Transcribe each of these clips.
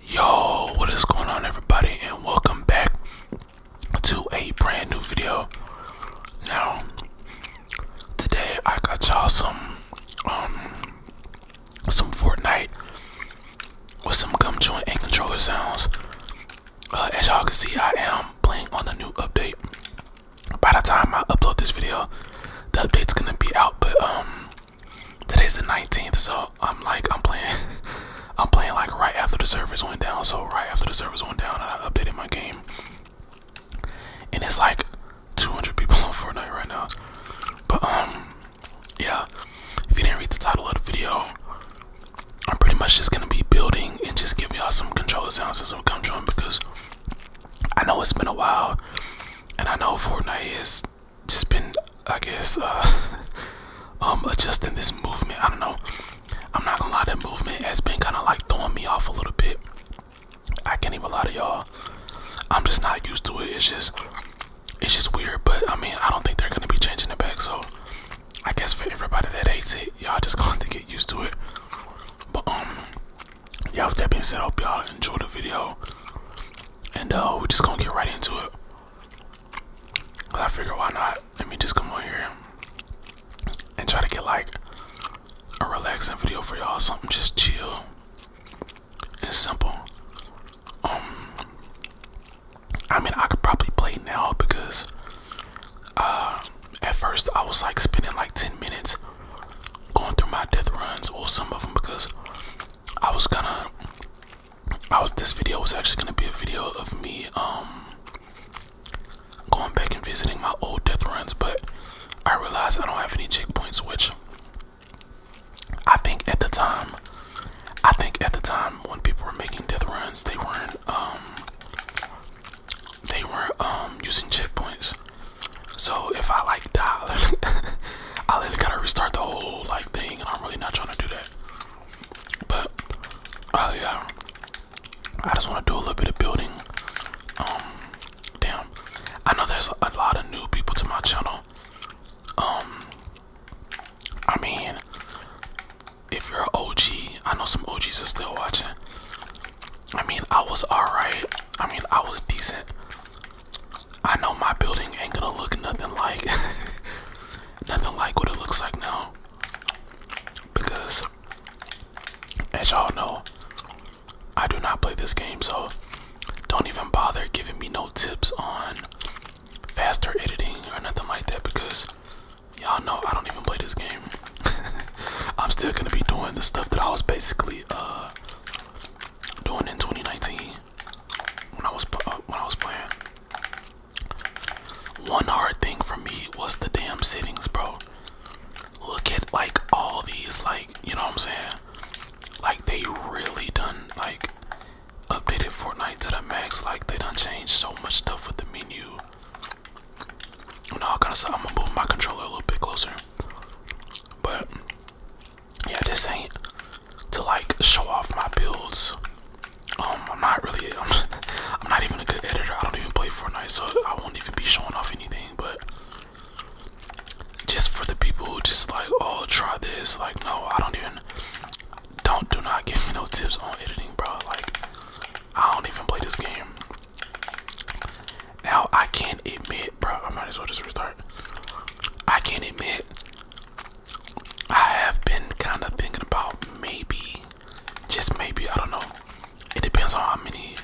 Yo, what is going on everybody and welcome back to a brand new video. Now, today I got y'all some um, some Fortnite with some gum joint and controller sounds. Uh, as y'all can see, I am playing on the new update. By the time I upload this video, the update's gonna be out, but um Today's the 19th, so I'm like, I'm playing, I'm playing like right after the servers went down. So right after the servers went down, I updated my game, and it's like 200 people on Fortnite right now. But um, yeah. If you didn't read the title of the video, I'm pretty much just gonna be building and just give y'all some controller sounds and some come drum because I know it's been a while, and I know Fortnite is just been I guess uh um adjusting this movement. I don't know. I'm not gonna lie, that movement has been kinda like throwing me off a little bit. I can't even lie to y'all. I'm just not used to it. It's just it's just weird, but I mean I don't think they're gonna be changing it back, so I guess for everybody that hates it, y'all just gonna have to get used to it. But um yeah with that being said, I hope y'all enjoy the video. And uh, we're just gonna get right into it. I figure why not? Let me just come on here and try to get like a relaxing video for y'all, something just chill and simple. Um, I mean, I could probably play now because uh, at first I was like spending like 10 minutes going through my death runs or some of them because I was gonna, I was. This video was actually gonna be a video of me um going back and visiting my old death runs, but I realized I don't have any checkpoints, which I think at the time, I think at the time when people were making death runs, they weren't um they weren't um using checkpoints. So if I like die, I literally gotta restart the whole like thing, and I'm really not trying to do that. But uh, yeah, I just want to do a little bit of building. Um, damn, I know there's a lot of new people to my channel. Um, I mean, if you're an OG, I know some OGs are still watching. I mean, I was alright I mean, I was decent. I know my building ain't gonna look nothing like nothing like what it looks like now. Because as y'all know, I do not play this game, so don't even bother giving me no tips on faster editing or nothing like that because y'all know I don't even play this game. I'm still gonna be doing the stuff that I was basically uh, doing in 2019 when I was uh, when I was playing. One hard thing for me was the damn settings, bro. Look at like all these, like you know what I'm saying. Like they really done like updated Fortnite to the max. Like they done changed so much stuff with the menu. And all kind of stuff. I'm gonna move my controller a little bit closer, but yeah, this ain't to like show off my builds. Um, I'm not really, I'm, I'm not even a good editor. I don't even play Fortnite, so I won't even be showing off anything. But just for the people who just like, oh, try this. Like, no, I don't even. Don't do not give me no tips on editing, bro. Like, I don't even play this game. Now I can't admit, bro. I might as well just restart. I can't admit I have been kind of thinking about maybe, just maybe. I don't know. It depends on how many,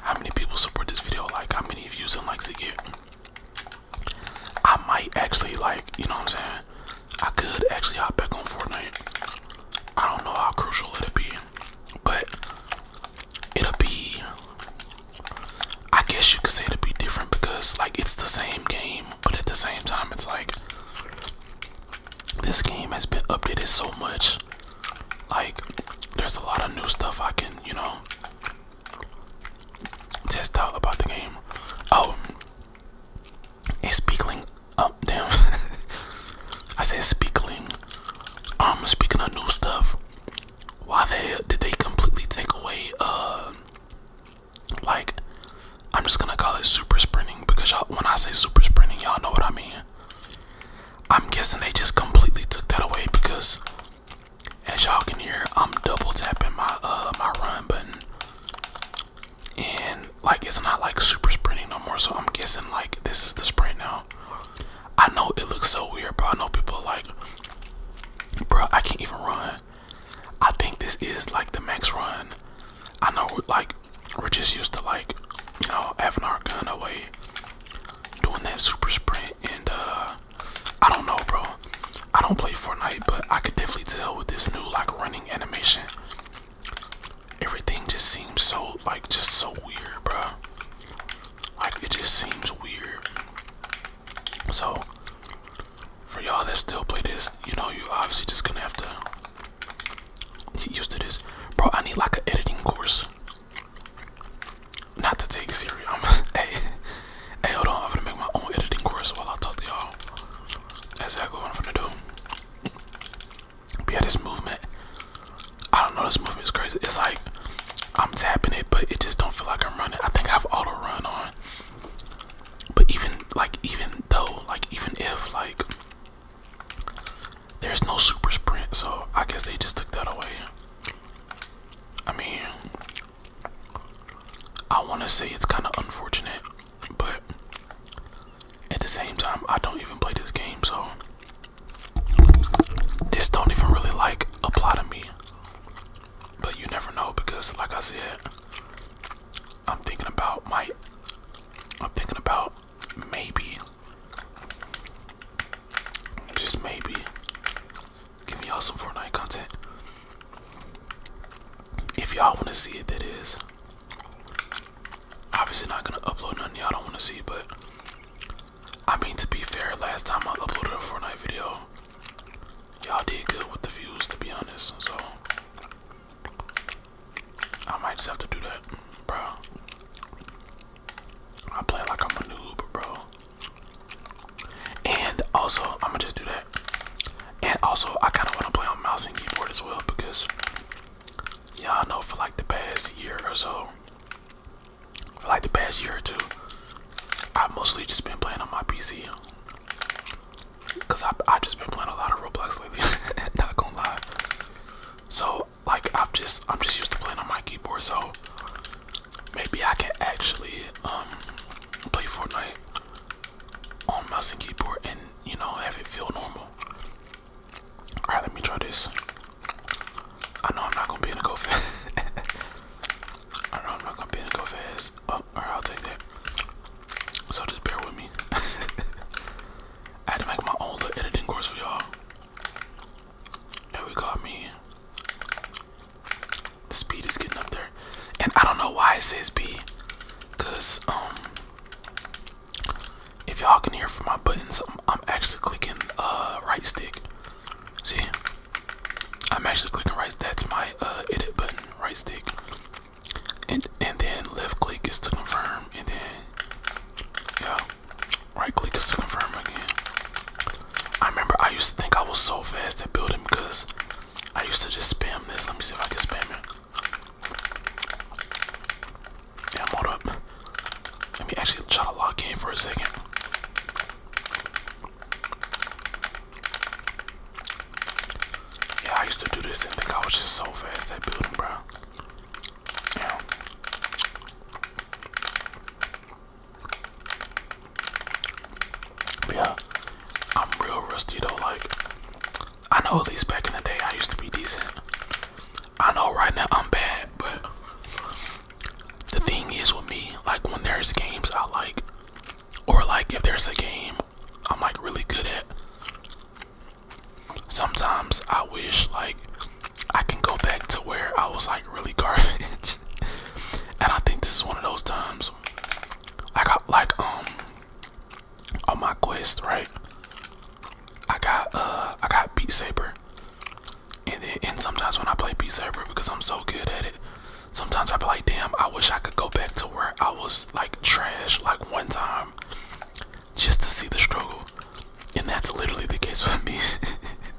how many people support this video. Like how many views and likes it get. I might actually like, you know what I'm saying. I could actually hop back on Fortnite. I don't know how crucial it would be, but it'll be I guess you could say it'll be different because like it's the same game, but at the same time it's like this game has been updated so much. Like there's a lot of new stuff I can, you know, test out about the game. Oh, it's speaking, oh damn, I said speaking. Um, speaking of new stuff, why the hell did they completely take away uh like I'm just gonna call it super sprinting because y'all when I say super sprinting y'all know what I mean. I'm guessing they just completely took that away because as y'all can hear I'm double tapping my uh my run button and like it's not like super sprinting no more so I'm guessing like this is the sprint now I know it looks so weird, bro. I know people are like, bro, I can't even run. I think this is like the max run. I know, like, we're just used to like, you know, having our gun away, doing that super sprint, and uh, I don't know, bro. I don't play Fortnite, but I could definitely tell with this new like running animation. Everything just seems so like just so weird, bro it just seems weird. So for y'all that still play this, you know you obviously just gonna have to get used to this. Bro, I need like an editing course. Not to take serious. I'm hey, hey, hold on. I'm gonna make my own editing course while I talk to y'all. That's exactly what I'm gonna do. But yeah, this movement I don't know. This movement is crazy. It's like I'm tapping it, but it just don't feel like I'm running. I think I've auto run on. But even like even though like even if like there's no super sprint, so I guess they just took that away. I mean, I want to say it's kind of unfortunate, but at the same time, I don't even play this game, so this don't even really like apply to me. But you never know because like I said, I'm thinking about my I'm thinking about maybe just maybe giving y'all some Fortnite content. If y'all wanna see it that is obviously not gonna upload nothing y'all don't wanna see but I mean, to be fair, last time I uploaded a Fortnite video, y'all did good with the views, to be honest. So, I might just have to do that, bro. I play like I'm a noob, bro. And also, I'm gonna just do that. And also, I kind of want to play on mouse and keyboard as well because y'all know for like the past year or so, for like the past year or two, I've mostly just been playing on my PC. Cause I I've just been playing a lot of Roblox lately. Not gonna lie. So like I've just I'm just used to playing on my keyboard, so maybe I can actually um play Fortnite on mouse and keyboard and you know have it feel normal. All right, let me try this. I know I'm not gonna be able to go fast. I know I'm not gonna be able to go fast. Oh, all right, I'll take that. So just bear with me. I had to make my own editing course for y'all. There we go, I The speed is getting up there. And I don't know why it says B. um if y'all can hear from my buttons, I'm, actually clicking uh, right stick. See, I'm actually clicking right. That's my uh, edit button, right stick, and and then left click is to confirm, and then yeah, right click is to confirm again. I remember I used to think I was so fast at building because I used to just spam this. Let me see if I can spam it. Damn, hold up. Let me actually try to lock in for a second. Yeah, I used to do this and think I was just so fast that building, bro. yeah, I'm real rusty though. Like, I know at least back in the day I used to be decent. I know right now I'm bad, but the thing is with me, like when there's games I like, or like if there's a game I'm like really good at, sometimes I wish like I can go back to where I was like really garbage. and I think this is one of those times. I got like um on my quest, right? I got uh I got Beat Saber. And then and sometimes when I play Beat Saber because I'm so good at it, sometimes I be like, damn, I wish I could go back to where I was like trash like one time just to see the struggle. And that's literally the case for me.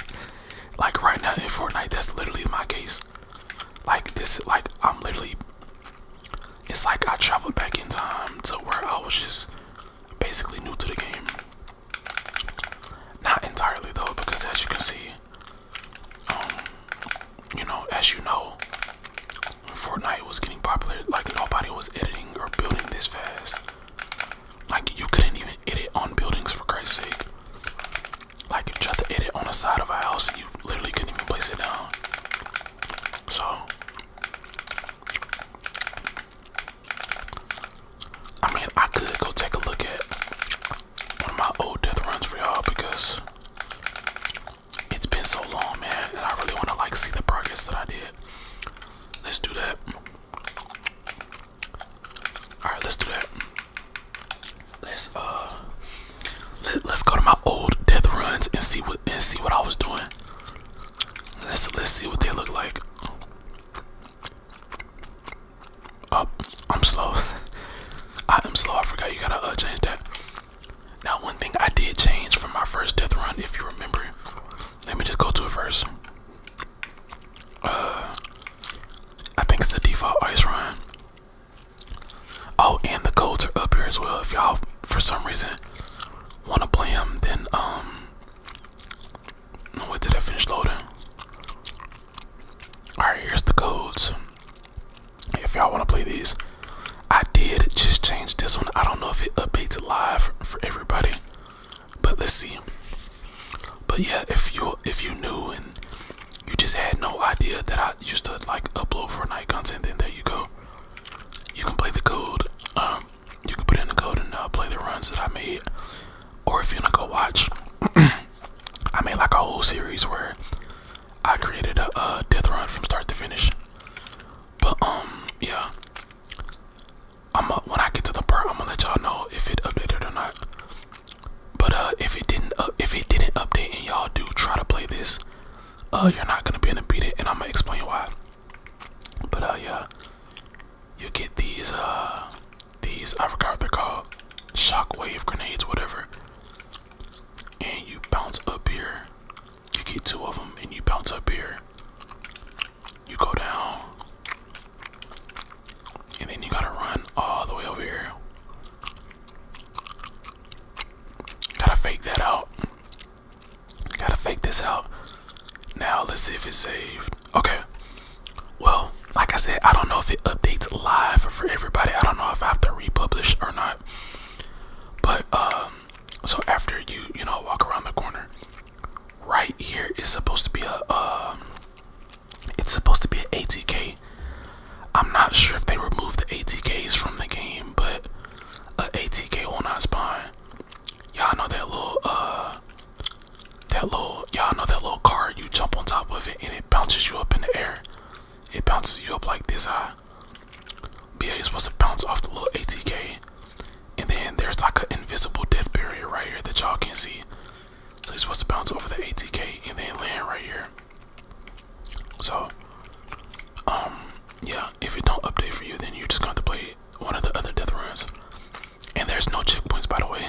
like right now in Fortnite, that's literally my case. Like this like I'm literally it's like I traveled back in time to where I was just basically new to the game. Not entirely though, because as you can see, um, you know, as you know, Fortnite was getting popular. Like nobody was editing or building this fast. Like you couldn't even edit on buildings for Christ's sake. Like if you tried to edit on the side of a house, you literally couldn't even place it down. So I mean I could go take a look at one of my old death runs for y'all because it's been so long man and I really wanna like see the progress that I did. Let's do that. Alright, let's do that. Let's uh let, let's go to my old death runs and see what and see what I was doing. Let's let's see what they look like. oh, I'm slow. I am slow. I forgot you gotta uh, change that. Now, one thing I did change from my first death run, if you remember, let me just go to it first. Uh, I think it's the default ice run. Oh, and the codes are up here as well. If y'all, for some reason, want to play him, then um, wait till that finish loading. All right, here's the codes. If y'all want to play these, I did just change this one. I don't know if it updates live for everybody, but let's see. But yeah, if you if you knew and you just had no idea that I used to like upload Fortnite content, then there you go you can play the code. Um, you can put in the code and uh, play the runs that I made. Or if you wanna go watch, I made like a whole series where I created a, death run from start to finish. But um, yeah. I'm when I get to the part, I'm gonna let y'all know if it updated or not. But uh, if it didn't, uh, if it didn't update, and y'all do try to play this, Oh, you're not gonna be able to beat it, and I'm gonna explain why. But uh, yeah, you get these uh, these I forget what they're called, shockwave grenades, whatever. And you bounce up here, you get two of them, and you bounce up here. You go down, and then you gotta run all the way over here. Gotta fake that out. Gotta fake this out. Now let's see if it's saved. Okay. Well, like I said, I don't know if it updates live for everybody. I don't know if I have to republish or not. But um, so after you, you know, walk around the corner, right here is supposed to be a uh, it's supposed to be an ATK. I'm not sure if they removed the ATKs from the game, but a ATK on our spine. Y'all know that little uh that little y'all know that little card you jump on top of it and it bounces you up in the air. It bounces you up like this high. Ah. But yeah, you're supposed to bounce off the little ATK. And then there's like an invisible death barrier right here that y'all can see. So you're supposed to bounce over the ATK and then land right here. So, um, yeah, if it don't update for you, then you just got to play one of the other death runs. And there's no checkpoints, by the way.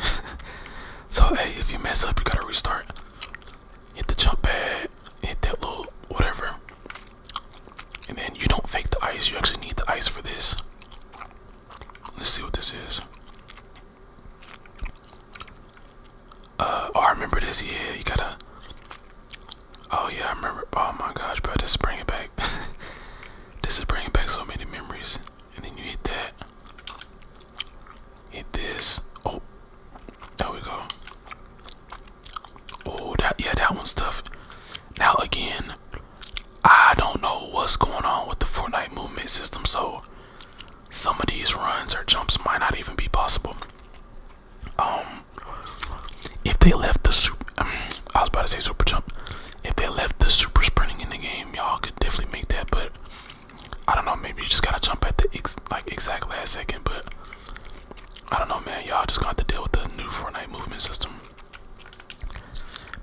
so, hey, if you mess up, you gotta restart. Hit the jump pad, hit that little whatever. And then you don't fake the ice, you actually need the ice for this. Let's see what this is. Uh, oh, I remember this. Yeah, you gotta Oh yeah, I remember. Oh my gosh, bro, this is bringing back. this is bringing back so many memories. And then you hit that. Hit this. Oh, there we go. Oh, that yeah, that one's tough. Now again, I don't know what's going on with the Fortnite movement system, so some of these runs or jumps might not even be possible um, if they left the super, um, I was about to say super jump. If they left the super sprinting in the game, y'all could definitely make that. But I don't know. Maybe you just gotta jump at the ex like exact last second. But I don't know, man. Y'all just got to deal with the new Fortnite movement system.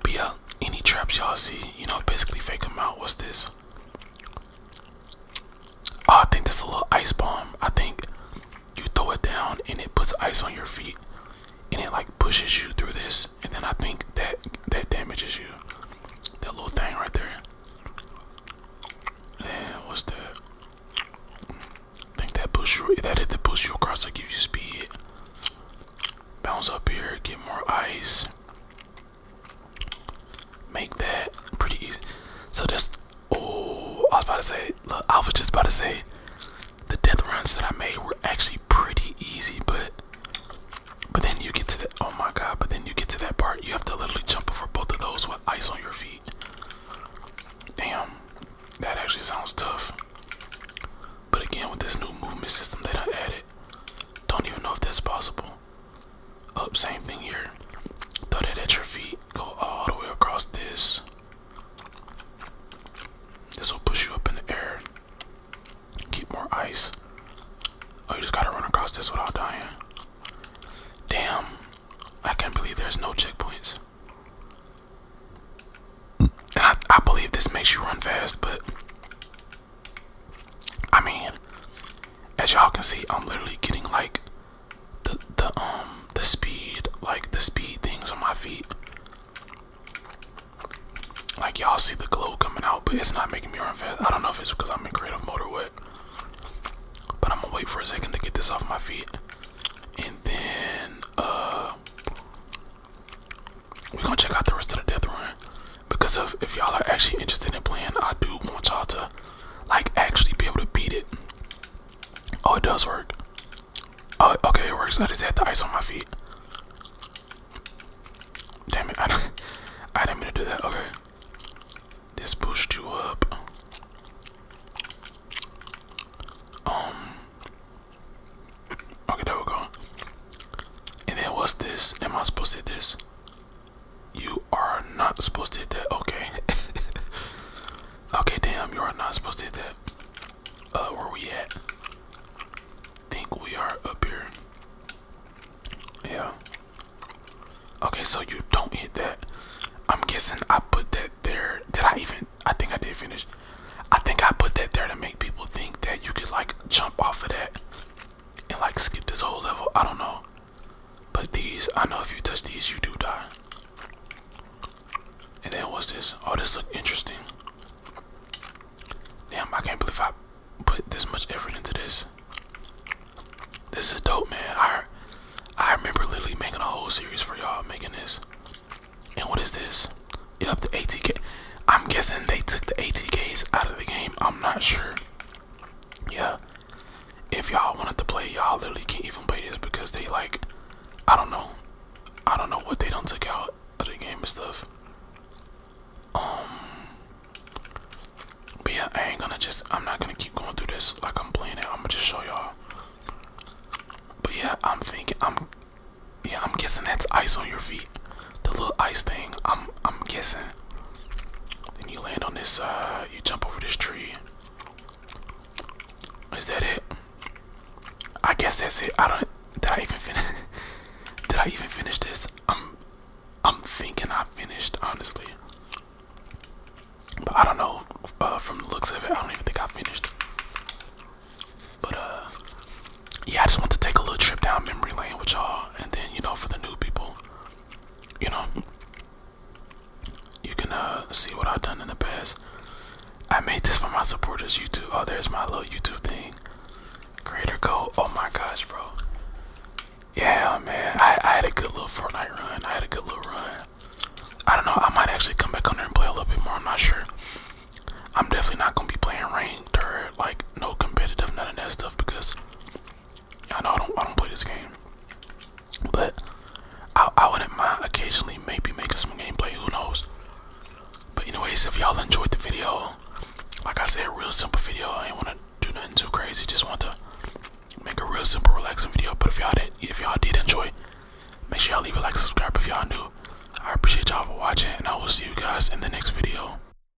Be yeah, any traps y'all see, you know, basically fake them out. What's this? Oh, I think this is a little ice bomb. I think you throw it down and it puts ice on your feet and it like pushes you through this and then I think that that damages you. That little thing right there. Then what's that? I think that push you that hit the pushes you across like gives you speed. Bounce up here, get more ice make that pretty easy. So that's oh, I was about to say, look, I was just about to say, the death runs that I made were actually pretty easy, but but then you get to that. Oh my god! But then you get to that part, you have to literally jump over both of those with ice on your feet. Damn, that actually sounds tough. But again, with this new movement system that I added, don't even know if that's possible. Up, same thing here. Throw that at your feet. Go all the way across this. This will push you up in the air. Keep more ice. Oh, you just gotta run across this without dying. Damn. I can't believe there's no checkpoints. I, I believe this makes you run fast, but I mean, as y'all can see, I'm literally getting like the the um the speed like the speed things on my feet. Like y'all see the glow coming out, but it's not making me run fast. I don't know if it's because I'm in creative mode But I'm gonna wait for a second to get this off my feet. And then uh we're gonna check out the rest of the death run. Because of if y'all are actually interested in playing, I do want y'all to like actually be able to beat it. Oh, it does work. Oh, okay, it works. I just had the ice on my feet. Damn it! I didn't, I didn't mean to do that. Okay, this pushed you up. Um. Okay, there we go. And then what's this? Am I supposed to hit this? You are not supposed to hit that. Okay. okay, damn, you are not supposed to hit that. Uh, where we at? Think we are up here. Yeah. Okay, so you don't hit that. I'm guessing I put that there. Did I even? I think I did finish. I think I put that there to make people think that you could like jump off of that and like skip this whole level. I don't know. But these, I know if you touch these, you do die. And then what's this? Oh, this look interesting. Damn, I can't believe I put this much effort into this. This is dope, man. I I remember literally making a whole series for y'all making this. And what is this? Yep, the ATK. I'm guessing they took the ATKs out of the game. I'm not sure. Yeah, if y'all wanted to play, y'all literally can't even play this because they like, I don't know, I don't know what they don't took out of the game and stuff. Um, but yeah, I ain't gonna just, I'm not gonna keep going through this like I'm playing it. I'm gonna just show y'all. But yeah, I'm thinking, I'm, yeah, I'm guessing that's ice on your feet, the little ice thing. I'm, I'm guessing and you land on this, uh, you jump over this tree. Is that it? I guess that's it. I don't, did I even finish, did I even finish this? I'm, I'm thinking I finished, honestly. But I don't know, uh, from the looks of it, I don't even think I finished. But, uh, yeah, I just want to take a little trip down memory lane with y'all. And then, you know, for the new people, you know, you can uh, see what I've done in the past. I made this for my supporters, YouTube. Oh, there's my little YouTube thing. Creator code. Oh my gosh, bro. Yeah, man. I, I had a good little Fortnite run. I had a good little run. I don't know. I might actually come back on there and play a little bit more. I'm not sure. I'm definitely not gonna be playing ranked or like no competitive, none of that stuff because I know I don't I don't play this game, but I I wouldn't mind occasionally maybe making some gameplay. Who knows? But anyways, if y'all enjoyed the video, like I said, real simple video. I ain't wanna do nothing too crazy. Just want to make a real simple, relaxing video. But if y'all did, if y'all did enjoy, make sure y'all leave a like, subscribe if y'all new. I appreciate y'all for watching, and I will see you guys in the next video.